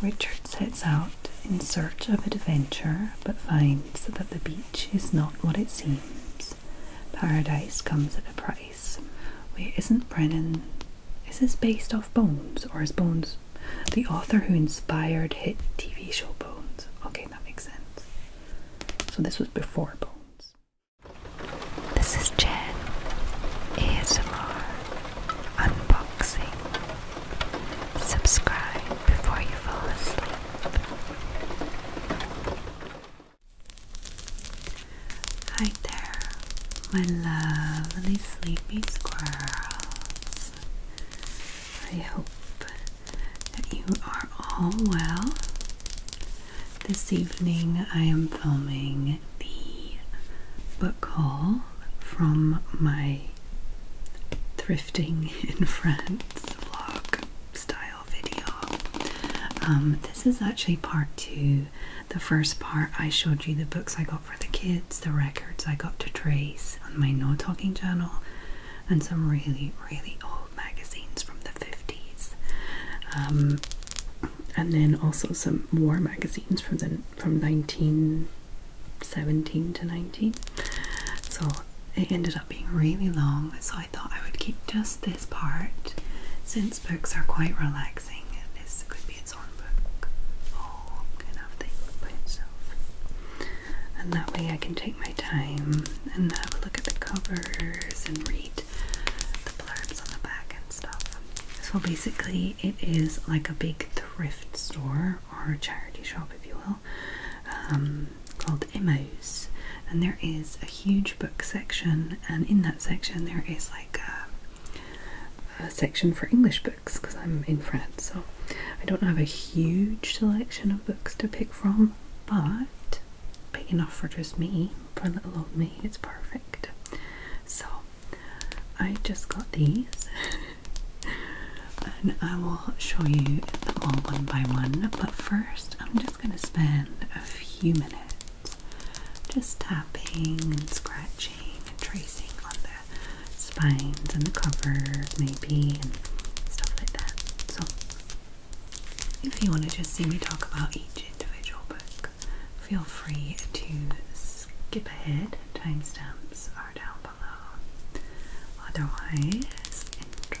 Richard sets out in search of adventure but finds that the beach is not what it seems. Paradise comes at a price. Wait, isn't Brennan. Is this based off Bones or is Bones the author who inspired hit TV show Bones? Okay, that makes sense. So this was before Bones. This is Jen. ASMR. Unboxing. Subscribe before you fall asleep. Hi there, my lovely sleepy squirrels. I hope you are all well. This evening I am filming the book haul from my thrifting in France vlog style video. Um, this is actually part two. The first part I showed you the books I got for the kids, the records I got to trace on my no talking journal and some really, really old magazines from the 50s. Um, and then also some war magazines from the, from 1917 to 19. So it ended up being really long, so I thought I would keep just this part since books are quite relaxing. This could be its own book. Oh, kind of by itself. And that way I can take my time and have a look at the covers and read the blurbs on the back and stuff. So basically, it is like a big thrift store or a charity shop, if you will, um, called Emmaus. And there is a huge book section, and in that section, there is like a section for English books because I'm in France, so I don't have a huge selection of books to pick from but big enough for just me, for little old me, it's perfect. So I just got these and I will show you them all one by one, but first I'm just going to spend a few minutes just tapping and scratching and tracing on the spines and the covers maybe and stuff like that. So, if you want to just see me talk about each individual book, feel free to skip ahead. Timestamps are down below. Otherwise, enjoy.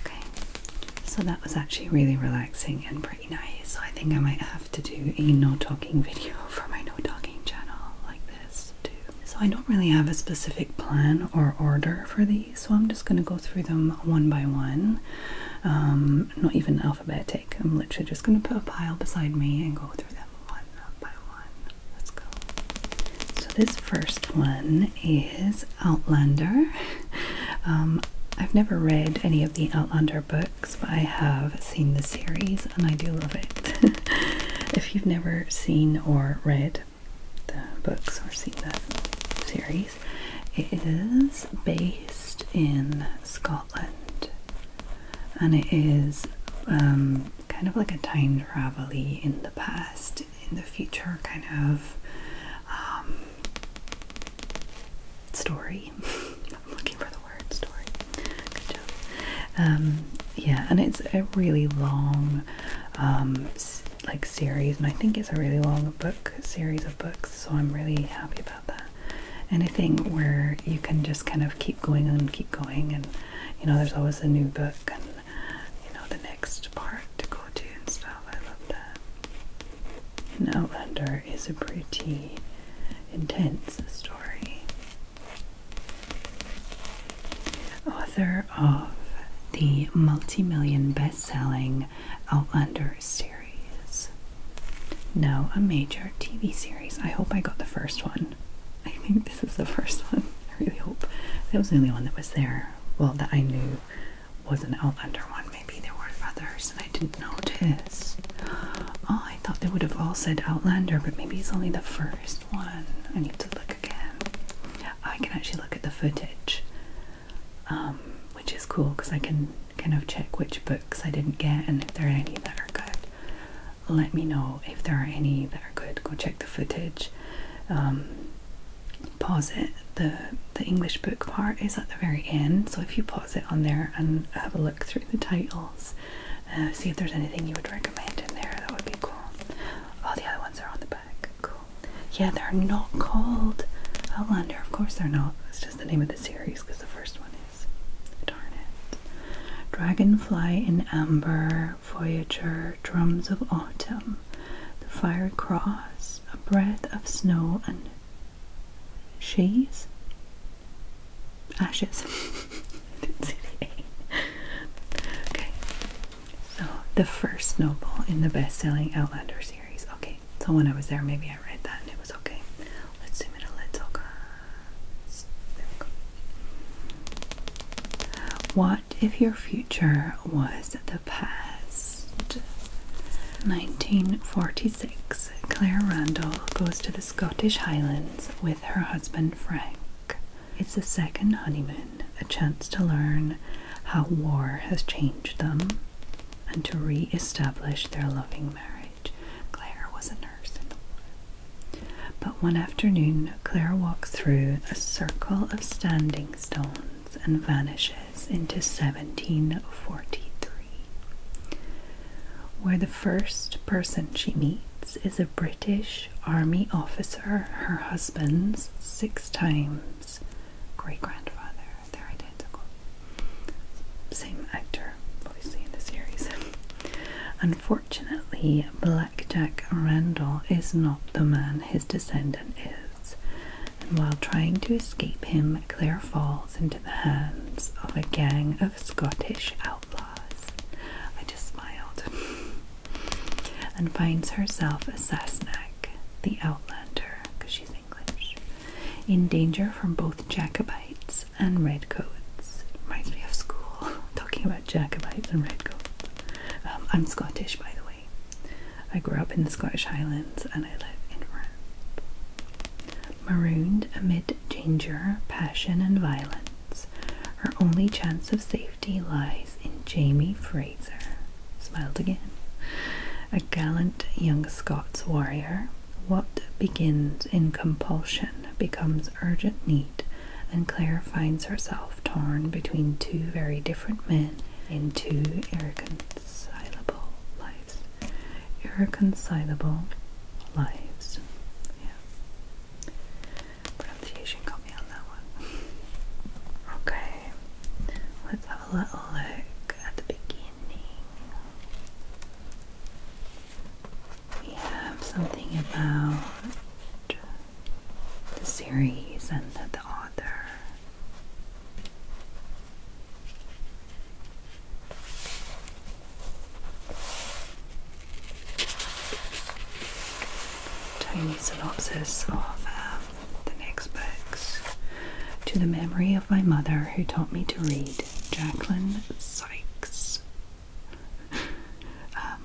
Okay, so that was actually really relaxing and pretty nice. I think I might have to do a no talking video for my no talking channel like this too. So I don't really have a specific plan or order for these so I'm just going to go through them one by one. Um, not even alphabetic. I'm literally just going to put a pile beside me and go through them one by one. Let's go. So this first one is Outlander. Um, I've never read any of the Outlander books, but I have seen the series and I do love it. if you've never seen or read the books or seen the series. is based in Scotland, and it is um, kind of like a time travel in the past, in the future kind of um, story. looking for the word story. Good job. Um, yeah, and it's a really long like series and I think it's a really long book series of books so I'm really happy about that anything where you can just kind of keep going and keep going and you know there's always a new book and you know the next part to go to and stuff I love that and Outlander is a pretty intense story author of the multi-million best-selling Outlander oh, series. No, a major TV series. I hope I got the first one. I think this is the first one. I really hope. That was the only one that was there. Well, that I knew was an Outlander one. Maybe there were others and I didn't notice. Oh, I thought they would have all said Outlander, but maybe it's only the first one. I need to look again. I can actually look at the footage um, which is cool because I can kind of check which books I didn't get and if there are any that are good. Let me know if there are any that are good. Go check the footage. Um, pause it. The, the English book part is at the very end, so if you pause it on there and have a look through the titles, uh, see if there's anything you would recommend in there, that would be cool. All the other ones are on the back. Yeah, they're not called Outlander. Of course they're not. It's just the name of the series because the first one is. Darn it. Dragonfly in Amber, Voyager, Drums of Autumn, The Fire Cross, A Breath of Snow, and She's? Ashes. Okay. So, the first noble in the best selling Outlander series. Okay, so when I was there, maybe I read that and it was okay. Let's zoom in a little. There we What if your future was the past? 1946. Claire Randall goes to the Scottish Highlands with her husband Frank. It's the second honeymoon a chance to learn how war has changed them and to re establish their loving marriage. Claire was a nurse in the war. But one afternoon, Claire walks through a circle of standing stones and vanishes into 1743, where the first person she meets is a British Army officer, her husband's six times great grandfather. They're identical. Same actor, obviously, in the series. Unfortunately, Blackjack Randall is not the man his descendant is, and while trying to escape him, Claire falls into the hands of a gang of Scottish outlaws. I just smiled. and finds herself a Sasnak, the Outlander, because she's English, in danger from both Jacobites and redcoats. Reminds me of school, talking about Jacobites and redcoats. Um, I'm Scottish, by the way. I grew up in the Scottish Highlands and I live in France. Marooned amid danger, passion, and violence, her only chance of safety lies in Jamie Fraser smiled again. A gallant young Scots warrior, what begins in compulsion becomes urgent need, and Claire finds herself torn between two very different men in two irreconcilable lives. Irreconcilable lives. Pronunciation got me on that one. Okay. Let's have a little look at the beginning. We have something about the series and the, author. Tiny synopsis of um, the next books. To the memory of my mother who taught me to read, Jacqueline Sykes. um,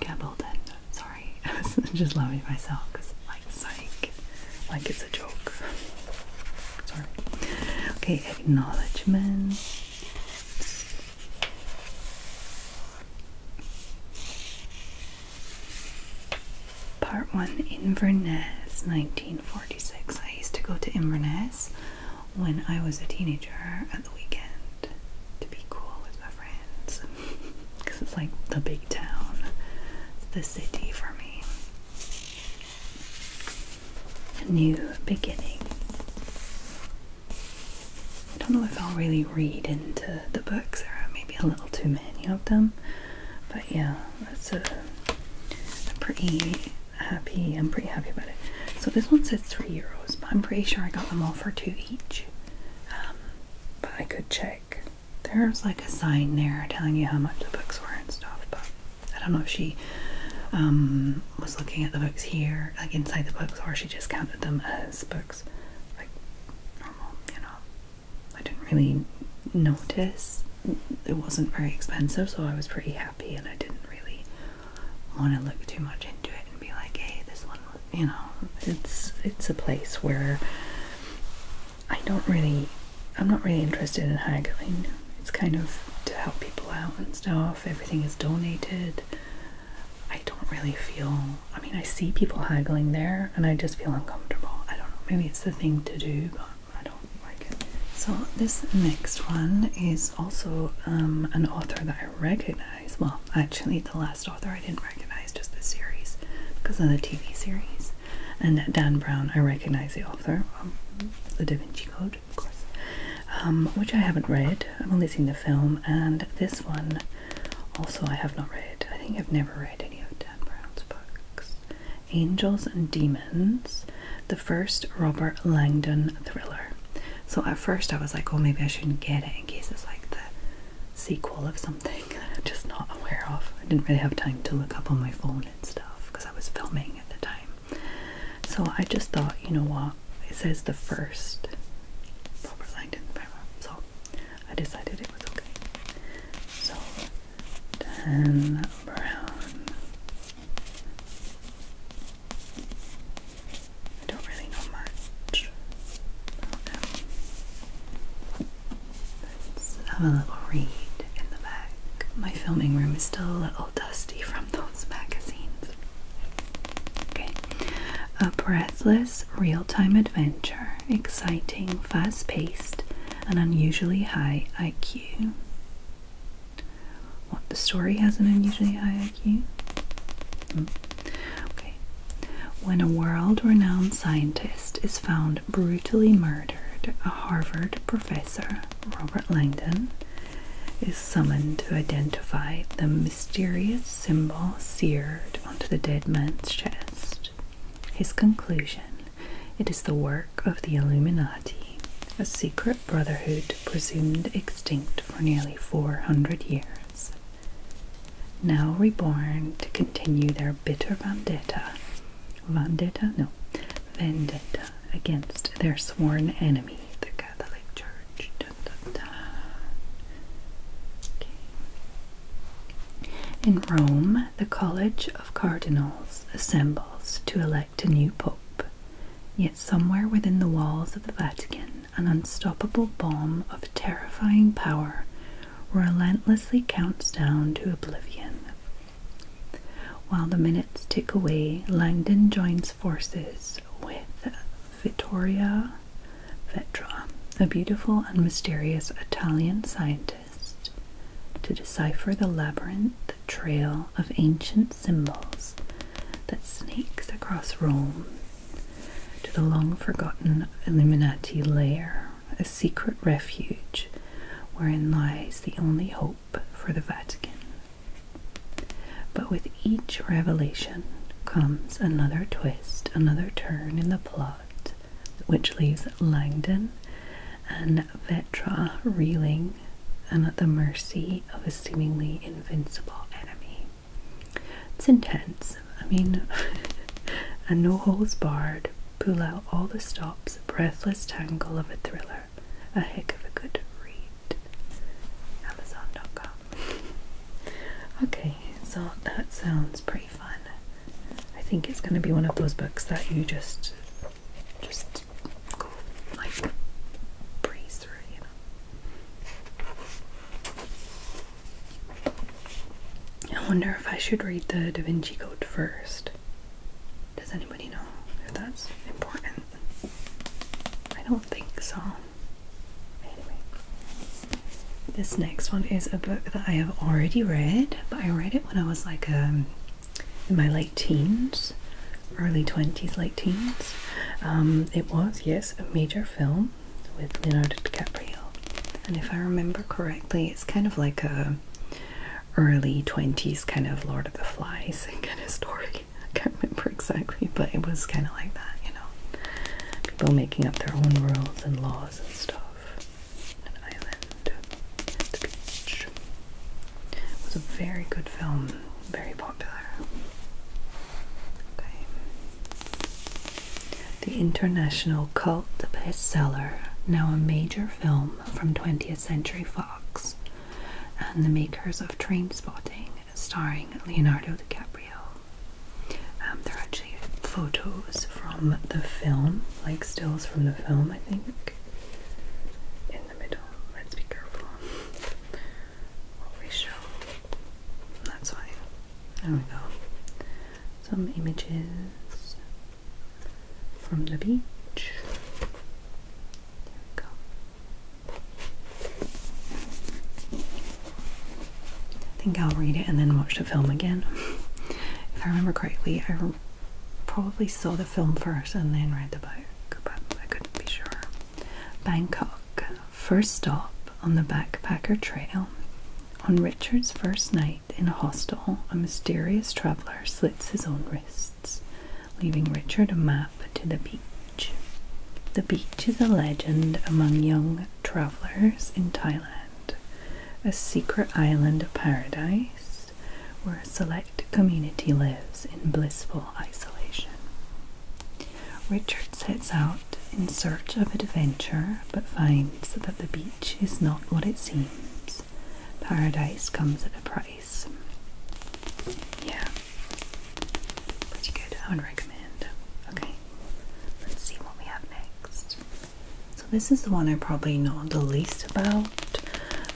Gabaldon. Sorry, just laughing myself because like psych, like it's a joke. Sorry. Okay, acknowledgements. Part 1 Inverness 1946. I used to go to Inverness when I was a teenager at the weekend to be cool with my friends because it's like the big town, the city for me. A new beginning. I don't know if I'll really read into the, books. There are maybe a little too many of them. But yeah, that's a, pretty happy, I'm pretty happy about it. So this one says three euros, but I'm pretty sure I got them all for two each. Um, but I could check. There's like a sign there telling you how much the books were and stuff, but I don't know if she um, was looking at the books here, like inside the books, or she just counted them as books. Like, you know. I didn't really notice. It wasn't very expensive, so I was pretty happy, and I didn't really want to look too much into it and be like, "Hey, this one," you know. It's it's a place where I don't really, I'm not really interested in haggling. It's kind of to help people out and stuff. Everything is donated. I don't really feel. I mean, I see people haggling there, and I just feel uncomfortable. I don't know. Maybe it's the thing to do, but I don't like it. So this next one is also um, an author that I recognize. Well, actually, the last author I didn't recognize, just the series, because of the TV series. And Dan Brown, I recognize the author, um, The Da Vinci Code, of course, um, which I haven't read. I've only seen the film, and this one also, I have not read, I think I've never read any of Dan Brown's books. Angels and Demons, the first Robert Langdon thriller. So at first I was like, oh, maybe I shouldn't get it in case it's like the sequel of something I'm just not aware of. I didn't really have time to look up on my phone and stuff because I was filming at the time. So I just thought, you know what? It says the first Robert Langdon thriller. So I decided it was okay. So, tan brown. don't really know much about them. Let's have a little read in the back. My filming room is still a little dusty from those magazines. Okay. A uh, breathless real time adventure, exciting, fast paced, and unusually high IQ. What the story has an unusually high IQ? Hmm. Okay. When a world renowned scientist is found brutally murdered, a Harvard professor, Robert Langdon, is summoned to identify the mysterious symbol seared onto the dead man's chest. His conclusion it is the work of the Illuminati, a secret brotherhood presumed extinct for nearly 400 years, now reborn to continue their bitter vendetta. Vendetta? No. Vendetta against their sworn enemy, the Catholic Church. In Rome, the College of Cardinals assembles to elect a new pope. Yet, somewhere within the walls of the Vatican, an unstoppable bomb of terrifying power relentlessly counts down to oblivion. While the minutes tick away, Langdon joins forces with Vittoria Vetra, a beautiful and mysterious Italian scientist, to decipher the labyrinth trail of ancient symbols that snakes across Rome to the long forgotten Illuminati lair, a secret refuge wherein lies the only hope for the Vatican. But with each revelation comes another twist, another turn in the plot which leaves Langdon and Vetra reeling and at the mercy of a seemingly invincible enemy. It's intense. I mean, and no holes barred, pull out all the stops, breathless tangle of a thriller. A heck of a good read. Amazon.com. Okay, so that sounds pretty fun. I think it's going to be one of those books that you just just like breeze through, you know. I wonder if I should read the Da Vinci Code first. Does anybody know if that's important? I don't think so. Anyway. This next one is a book that I have already read, but I read it when I was like um, in my late teens, early 20s, late teens. Um, it was, yes, a major film with Leonardo DiCaprio. And if I remember correctly, it's kind of like a early 20s kind of Lord of the Flies kind of story. I can't remember exactly, but it was kind of like that, you know. People making up their own rules and laws stuff. An island the beach. It was a very good film, very popular. Okay. The International Cult Bestseller, now a major film from 20th Century Fox, and the makers of Train Spotting, starring Leonardo DiCaprio. Um, they're actually photos from the film, like stills from the film, I think. In the middle. Let's be careful what we show. That's why. There we go. Some images from the beach. There we go. I think I'll read it and then watch the film again. if I remember correctly, I probably saw the film first and then read the book, but I couldn't be sure. Bangkok, first stop on the backpacker trail. On Richard's first night in a hostel, a mysterious traveller slits his own wrists, leaving Richard a map to the beach. The beach is a legend among young travelers in Thailand, a secret island of paradise where a select community lives in blissful isolation. Richard sets out in search of adventure but finds that the beach is not what it seems. Paradise comes at a price. Yeah. Pretty good. I recommend. Okay. Let's see what we have next. So this is the one I probably know the least about.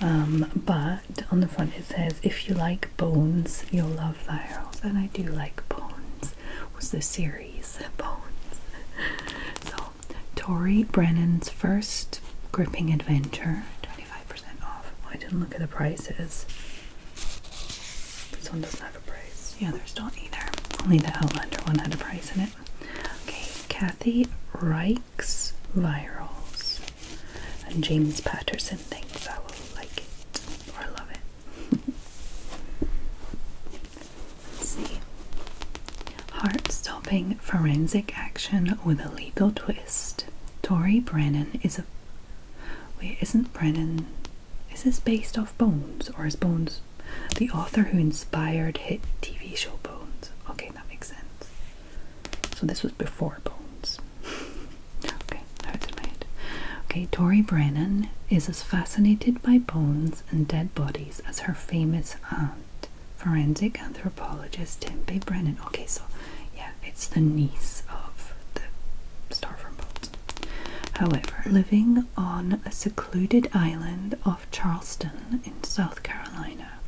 Um, but on the front it says, if you like bones, you'll love virals. And I do like bones. Was the series Bones? so Tori Brennan's first gripping adventure, 25% off. Oh, I didn't look at the prices. This have price. Yeah, there's don't either. Only the Outlander one had a price in it. Okay, Kathy Reich's Virals. And James Patterson thinks I will like it or love it. Let's see. Heart stopping forensic action with a legal twist. Tori Brennan is a. Wait, isn't Brennan. Is this based off Bones or is Bones the author who inspired hit TV show Bones. Okay, that makes sense. So this was before Bones. okay, out of my Okay, Tori Brennan is as fascinated by bones and dead bodies as her famous aunt, forensic anthropologist Tempe Brennan. Okay, so yeah, it's the niece of the star from Bones. However, living on a secluded island off Charleston in South Carolina,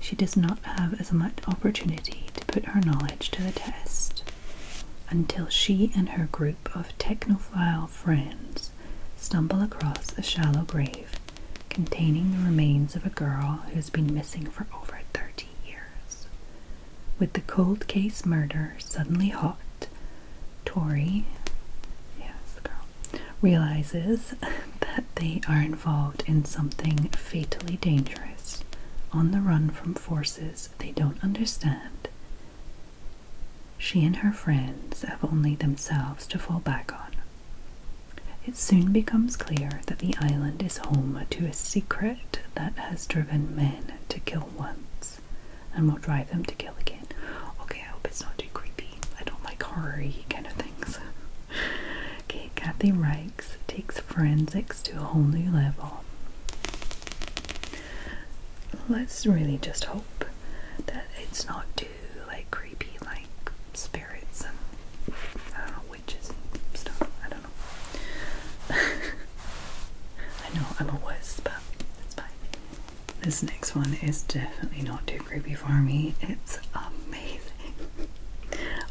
she does not have as much opportunity to put her knowledge to the test until she and her group of technophile friends stumble across a shallow grave containing the remains of a girl who has been missing for over 30 years. With the cold case murder suddenly hot, Tori, yes, the girl, realizes that they are involved in something fatally dangerous, on the run from forces they don't understand. She and her friends have only themselves to fall back on. It soon becomes clear that the island is home to a secret that has driven men to kill once and we'll drive them to kill again. Okay, I hope it's not too creepy. I don't like horror kind of things. okay, Kathy Reichs takes forensics to a whole new level. Let's really just hope that it's not too like creepy like spirits and I don't know witches and stuff. I don't know. I know I'm a wuss, but that's fine. This next one is definitely not too creepy for me. It's amazing.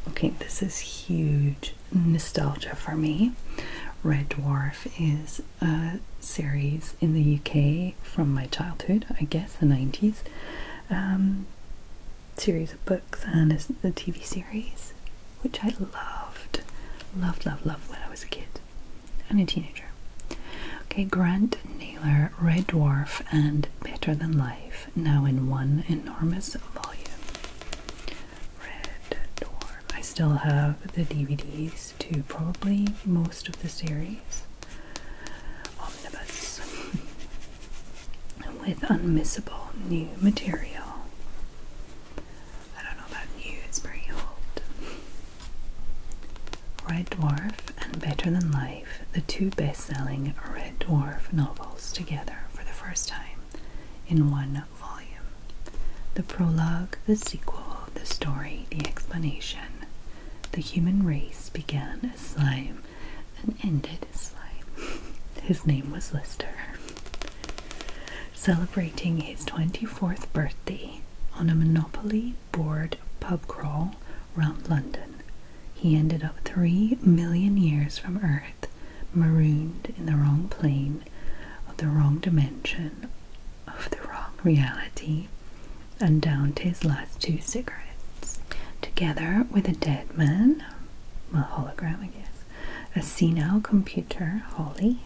okay, this is huge nostalgia for me. Red Dwarf is a series in the UK from my childhood, I guess the 90s. Um, series of books and the TV series, which I loved. Loved, loved, loved when I was a kid and a teenager. Okay, Grant Naylor, Red Dwarf, and Better Than Life, now in one enormous volume. Red Dwarf. I still have the DVDs to probably most of the series. Omnibus. With unmissable new material Red Dwarf and Better Than Life, the two best selling Red Dwarf novels together for the first time in one volume. The prologue, the sequel, the story, the explanation. The human race began as slime and ended as slime. His name was Lister. Celebrating his 24th birthday on a Monopoly board pub crawl round London. He ended up three million years from Earth, marooned in the wrong plane, of the wrong dimension, of the wrong reality, and down to his last two cigarettes. Together with a dead man, a hologram, I guess, a senile computer, Holly,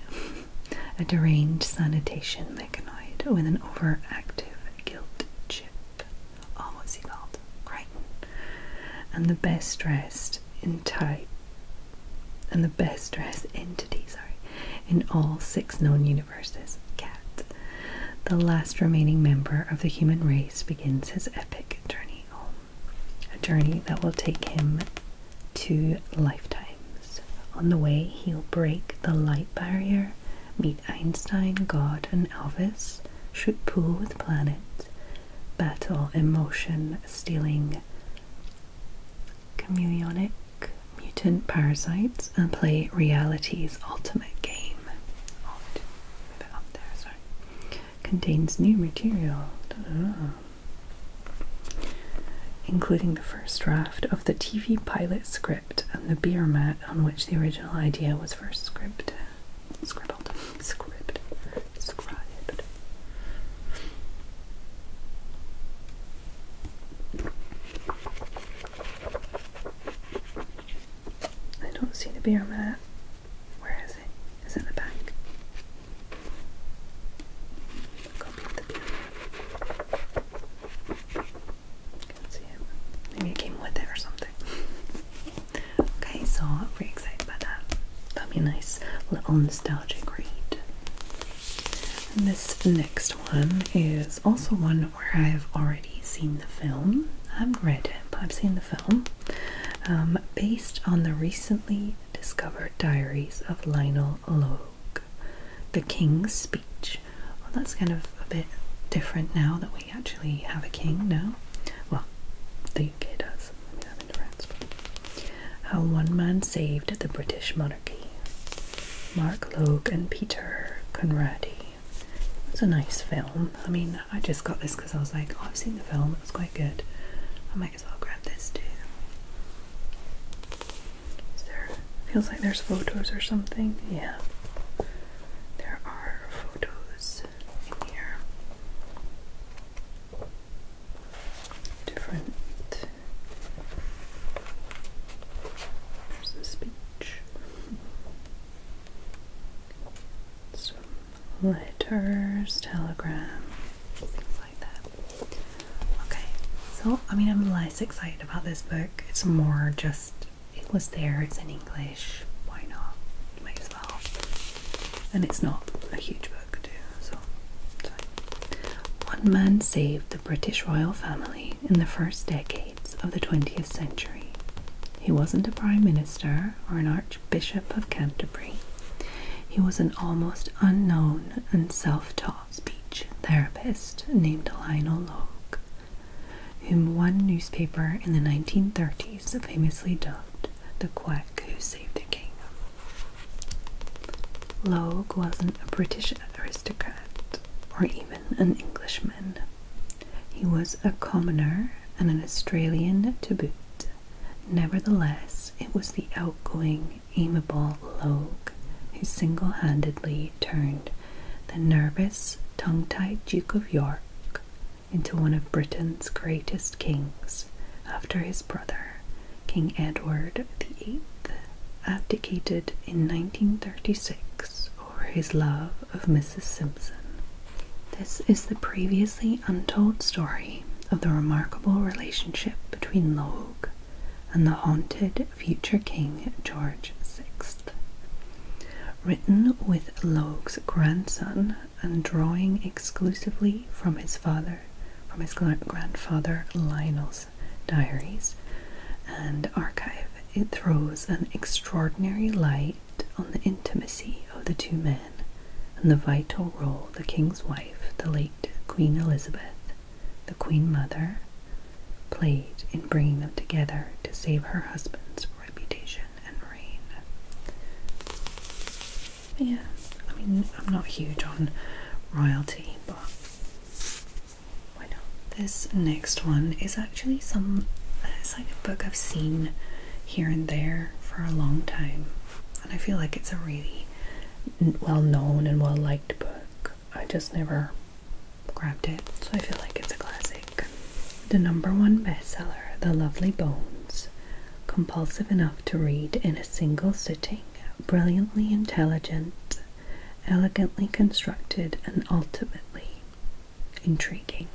a deranged sanitation mechanoid with an overactive guilt chip. almost evolved, he Crichton. And the best dressed in type and the best dressed entity, sorry, in all six known universes, Cat, the last remaining member of the human race, begins his epic journey home. A journey that will take him two lifetimes. On the way, he'll break the light barrier, meet Einstein, God, and Elvis, shoot pool with Planet, battle emotion stealing chameleonic mutant parasites, and play reality's ultimate game. Contains new material including the first draft of the TV pilot script and the beer mat on which the original idea was first script, scribbled, script, scribed. I don't see the beer mat. Where is it? Is it in the back? Copy the piano. Can't see it. Maybe it came with it or something. okay, so I'm pretty excited about that. That'll be a nice little nostalgic read. this next one is also one where I've already seen the film. I have read it, but I've seen the film. Um, based on the recently discovered diaries of Lionel Logue the king's speech. Well, that's kind of a bit different now that we actually have a king now. Well, the UK does. We have in France. How one man saved the British monarchy. Mark Logue and Peter Conradi. It's a nice film. I mean, I just got this because I was like, oh, I've seen the film. It was quite good. I might as well grab this too there feels like there's photos or something? Yeah. There are photos in here. Different there's the speech. Some letters, telegram, things like that. Okay, so I mean, I'm less excited about this book. It's more just it was there, it's in English. Why not? Might as well. And it's not a huge book, too. So, one man saved the British royal family in the first decades of the 20th century. He wasn't a prime minister or an archbishop of Canterbury. He was an almost unknown and self taught speech therapist named Lionel Locke, whom one newspaper in the 1930s famously dubbed the quack who saved the king. Locke wasn't a British aristocrat or even an Englishman. He was a commoner and an Australian to boot. Nevertheless, it was the outgoing amiable rogue who single handedly turned the nervous, tongue tied Duke of York into one of Britain's greatest kings after his brother, King Edward VIII, abdicated in 1936 over his love of Mrs. Simpson. This is the previously untold story of the remarkable relationship between Logue and the haunted future King George VI. Written with Logue's grandson and drawing exclusively from his father, from his grandfather Lionel's diaries and archive, it throws an extraordinary light on the intimacy of the two men and the vital role the king's wife, the late Queen Elizabeth, the Queen Mother, played in bringing them together to save her husband's reputation and reign. Yeah, I mean, I'm not huge on royalty, but why not? This next one is actually some. It's of book I've seen here and there for a long time, and I feel like it's a really well known and well liked book. I just never grabbed it, so I feel like it's a classic. The number one bestseller, The Lovely Bones, compulsive enough to read in a single sitting, brilliantly intelligent, elegantly constructed, and ultimately intriguing.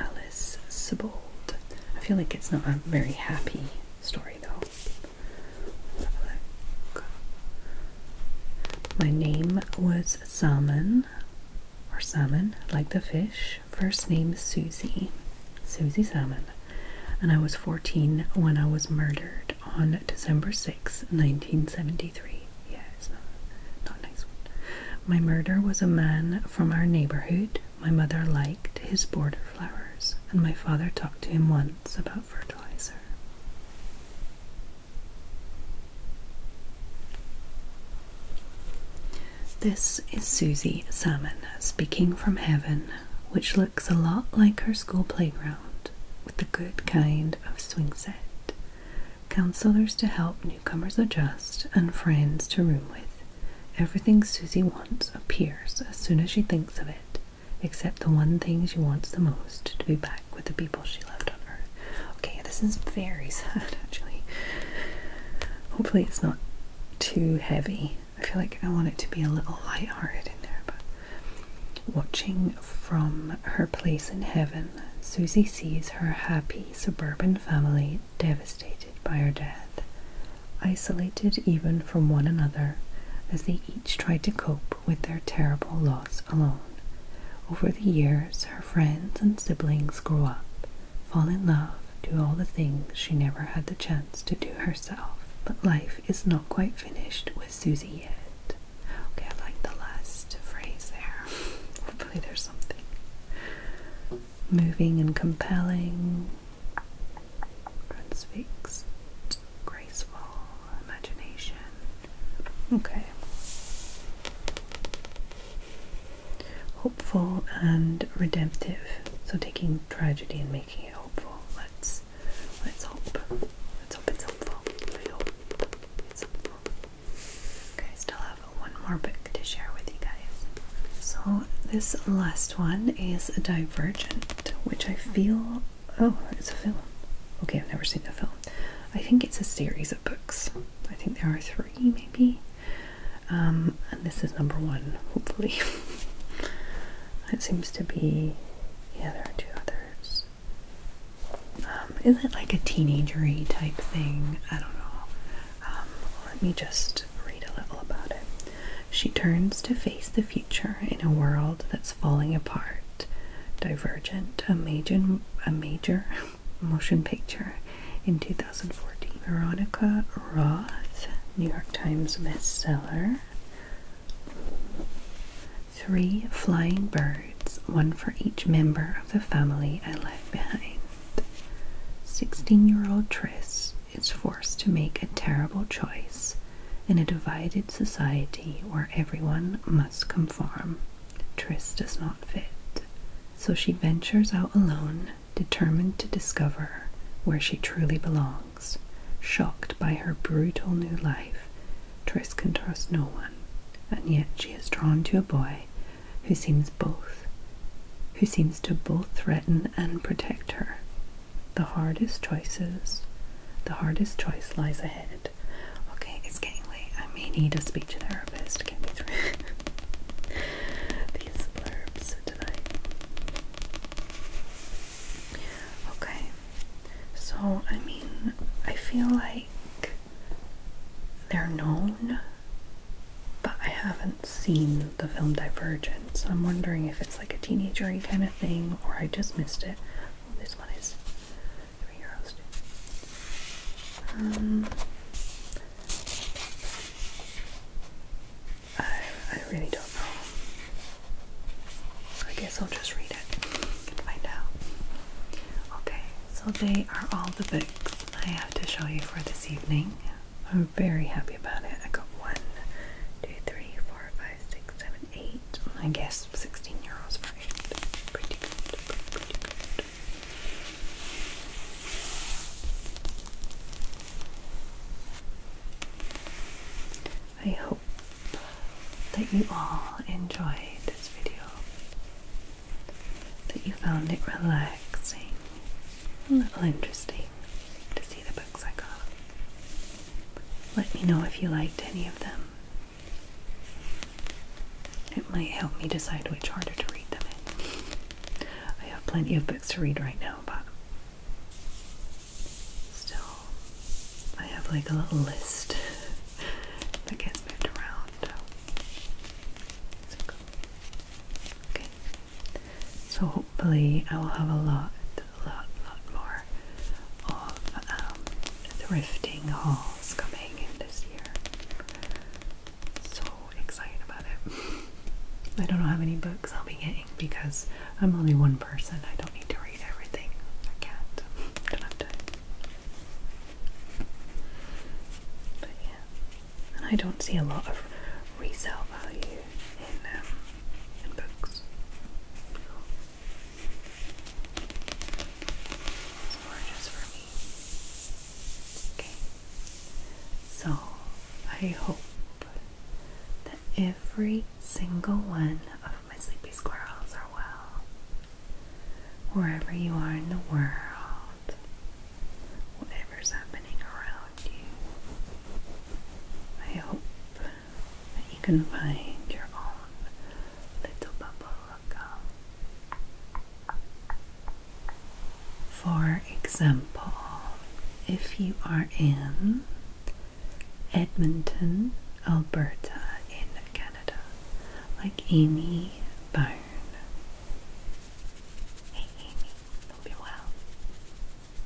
Alice Sebold. I feel like it's not a very happy story though. My name was Salmon or Salmon, like the fish. First name Susie. Susie Salmon. And I was 14 when I was murdered on December 6, 1973. not, nice one. My murder was a man from our neighborhood. My mother liked his border flowers, and my father talked to him once sense about fertilizer. This is Susie Salmon speaking from heaven, which looks a lot like her school playground with the good kind of swing set, counselors to help newcomers adjust, and friends to room with. Everything Susie wants appears as soon as she thinks of it, except the one thing she wants the most to be back with the people she loved on Earth. Okay, this is very sad actually. Hopefully, it's not too heavy. I feel like I want it to be a little lighthearted in there, but watching from her place in heaven, Susie sees her happy suburban family devastated by her death, isolated even from one another as they each tried to cope with their terrible loss alone. Over the years, her friends and siblings grew up, fall in love, do all the things she never had the chance to do herself. But life is not quite finished with Susie yet. Okay, I like the last phrase there. Hopefully, there's something moving and compelling. Brunswick's graceful imagination. Okay. Hopeful and redemptive. So taking tragedy and making it hopeful. Let's let's hope. Let's hope it's helpful. I hope it's helpful. Okay, still have one more book to share with you guys. So this last one is Divergent, which I feel Oh, it's a film. Okay, I've never seen the film. I think it's a series of books. I think there are three, maybe. Um, and this is number one, hopefully. it seems to be. Yeah, there are two others. Um, is it like a teenagery type thing? I don't know. Um, let me just read a little about it. She turns to face the future in a world that's falling apart. Divergent, a major, motion picture in 2014. Veronica Roth, New York Times bestseller. Three flying birds, one for each member of the family I left behind. 16 year old Tris is forced to make a terrible choice in a divided society where everyone must conform, Triss does not fit. So she ventures out alone, determined to discover where she truly belongs. Shocked by her brutal new life, Triss can trust no one, and yet she is drawn to a boy who seems both who seems to both threaten and protect her the hardest choices, the hardest choice lies ahead. Okay, it's getting late. I may need a speech therapist. Get me through these blurbs tonight. Okay, so I mean, I feel like they're known, but I haven't seen the film Divergent, so I'm wondering if it's like a teenagery kind of thing, or I just missed it. Oh, this one is three euros. Um, I, I really don't know. I guess I'll just read it and find out. Okay, so they are all the books I have to show you for this evening. I'm very happy about it. I got one, two, three, four, five, six, seven, eight. I guess sixteen euros for eight. Pretty good. Pretty good. I hope that you all enjoyed this video, that you found it relaxing, a little interesting to see the books I got. Let me know if you liked any of them. It might help me decide which harder to read them I have plenty of books to read right now, but still, I have like a little list that gets moved around. So, cool. Okay. So, hopefully I will have a lot, lot, lot more of um, thrifting hauls coming in this year. So excited about it. I don't know how many books I'll be getting because I'm only one person. I don't need to read everything. I can't. don't have time. But yeah. And I don't see a lot of resale value in, um, in It's more just for me. Okay. So I hope that every single one of my sleepy squirrels are well. Wherever you are in the world, whatever's happening around you, I hope you can find your own little bubble of For example, if you are in Edmonton, Alberta, in Canada, like Amy Byrne. Hey Amy, hope you're well